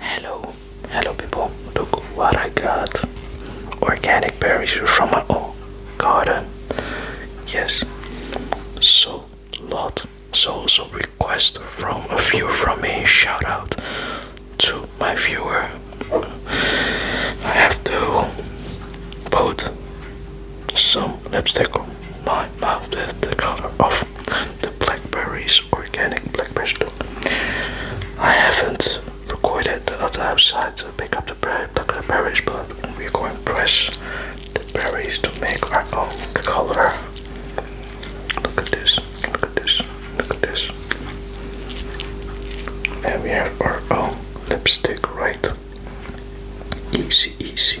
Hello, hello people, look what I got. Organic berries from my own garden. Yes, so lot. So so request from a viewer from me. Shout out to my viewer. I have to put some lipstick on my mouth with the color of the blackberries, organic blackberries. I haven't recorded the other outside to pick up the blackberries, but we're going to press the berries to make our own color. Look at this, look at this, look at this. And we have our own lipstick, right? Easy, easy.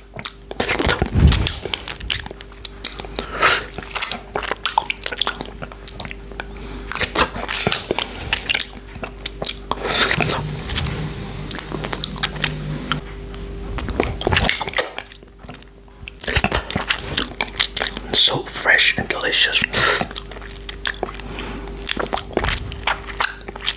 So fresh and delicious.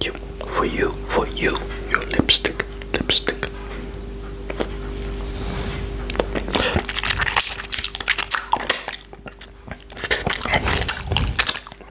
You, for you, for you, your lipstick, lipstick.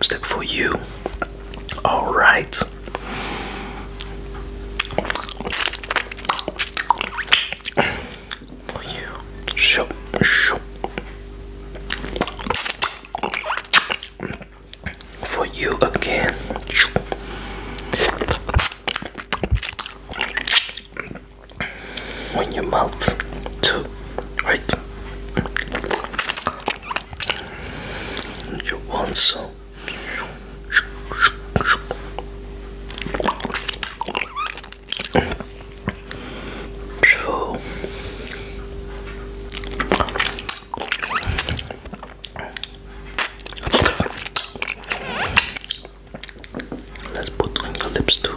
Step for you. All right. For you. Show, show for you again. When your mouth too, right? You want some. So Let's put on the lips too.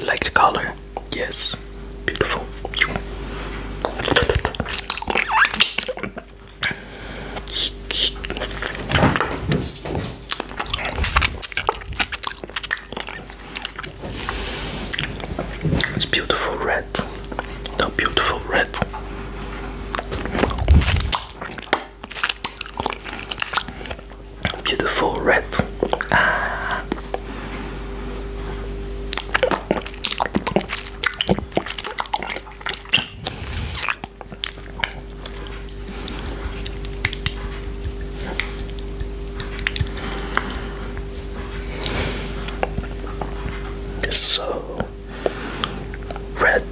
You like the color? Yes. Beautiful. It's beautiful red. The beautiful red. Beautiful red. Ah. It's so red.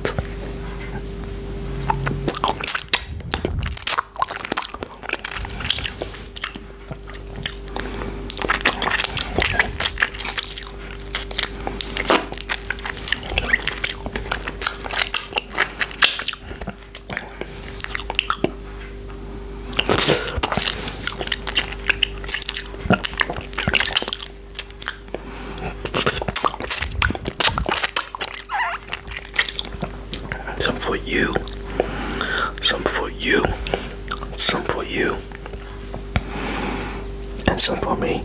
Some for you, some for you, some for you, and some for me.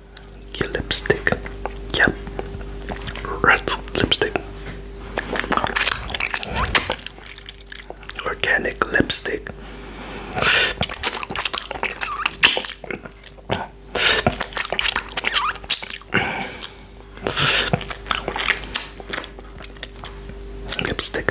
lipstick. Yep. Red lipstick. Organic lipstick. Lipstick.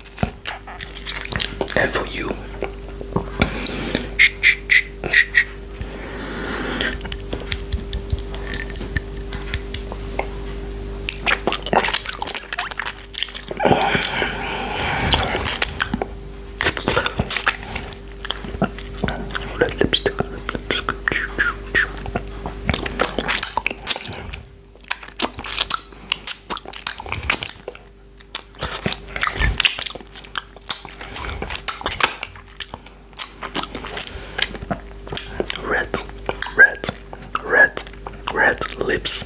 and for you. Red lipstick, red lipstick. Red, red, red, red lips.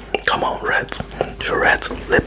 Come on, Reds. Your Reds lip.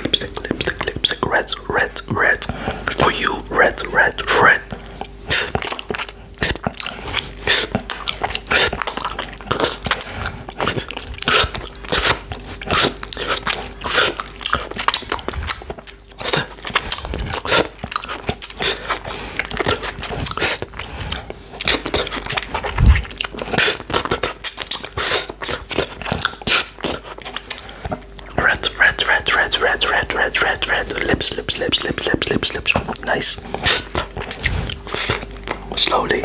Lipstick, lipstick, lipstick, red, red, red. For you, red, red, red. Red, red, red, red, red, red, red, red, red, lips, lips, lips, lips, lips, lips, lips. Nice. Slowly.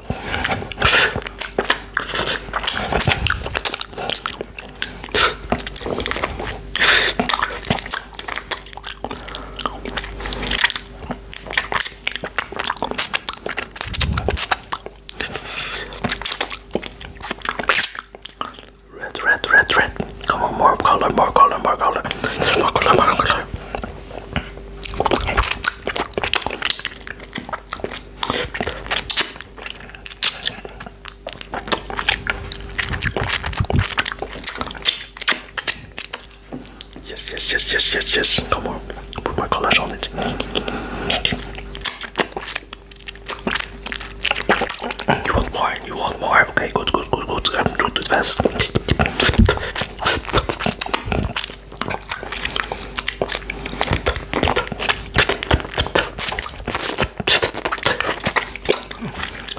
Red, red, red, red. Come on, more color, more color, more color. More color, more color. Yes, yes, yes, yes, yes, yes. Come on, Put my colors on it. You want more? You want more? Okay, good, good, good, good. I'm doing the fast.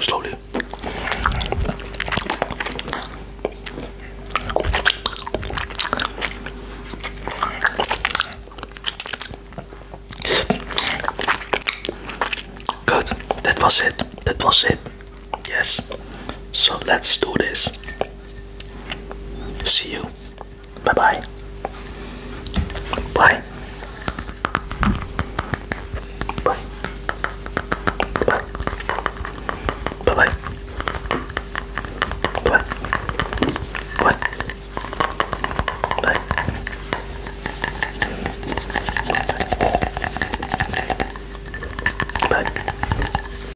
Slowly. Good, that was it. That was it. Yes. So let's do this. See you. Bye bye. Bye. Bye. Bye. Bye bye. Bye. Bye. Bye. Bye. Bye.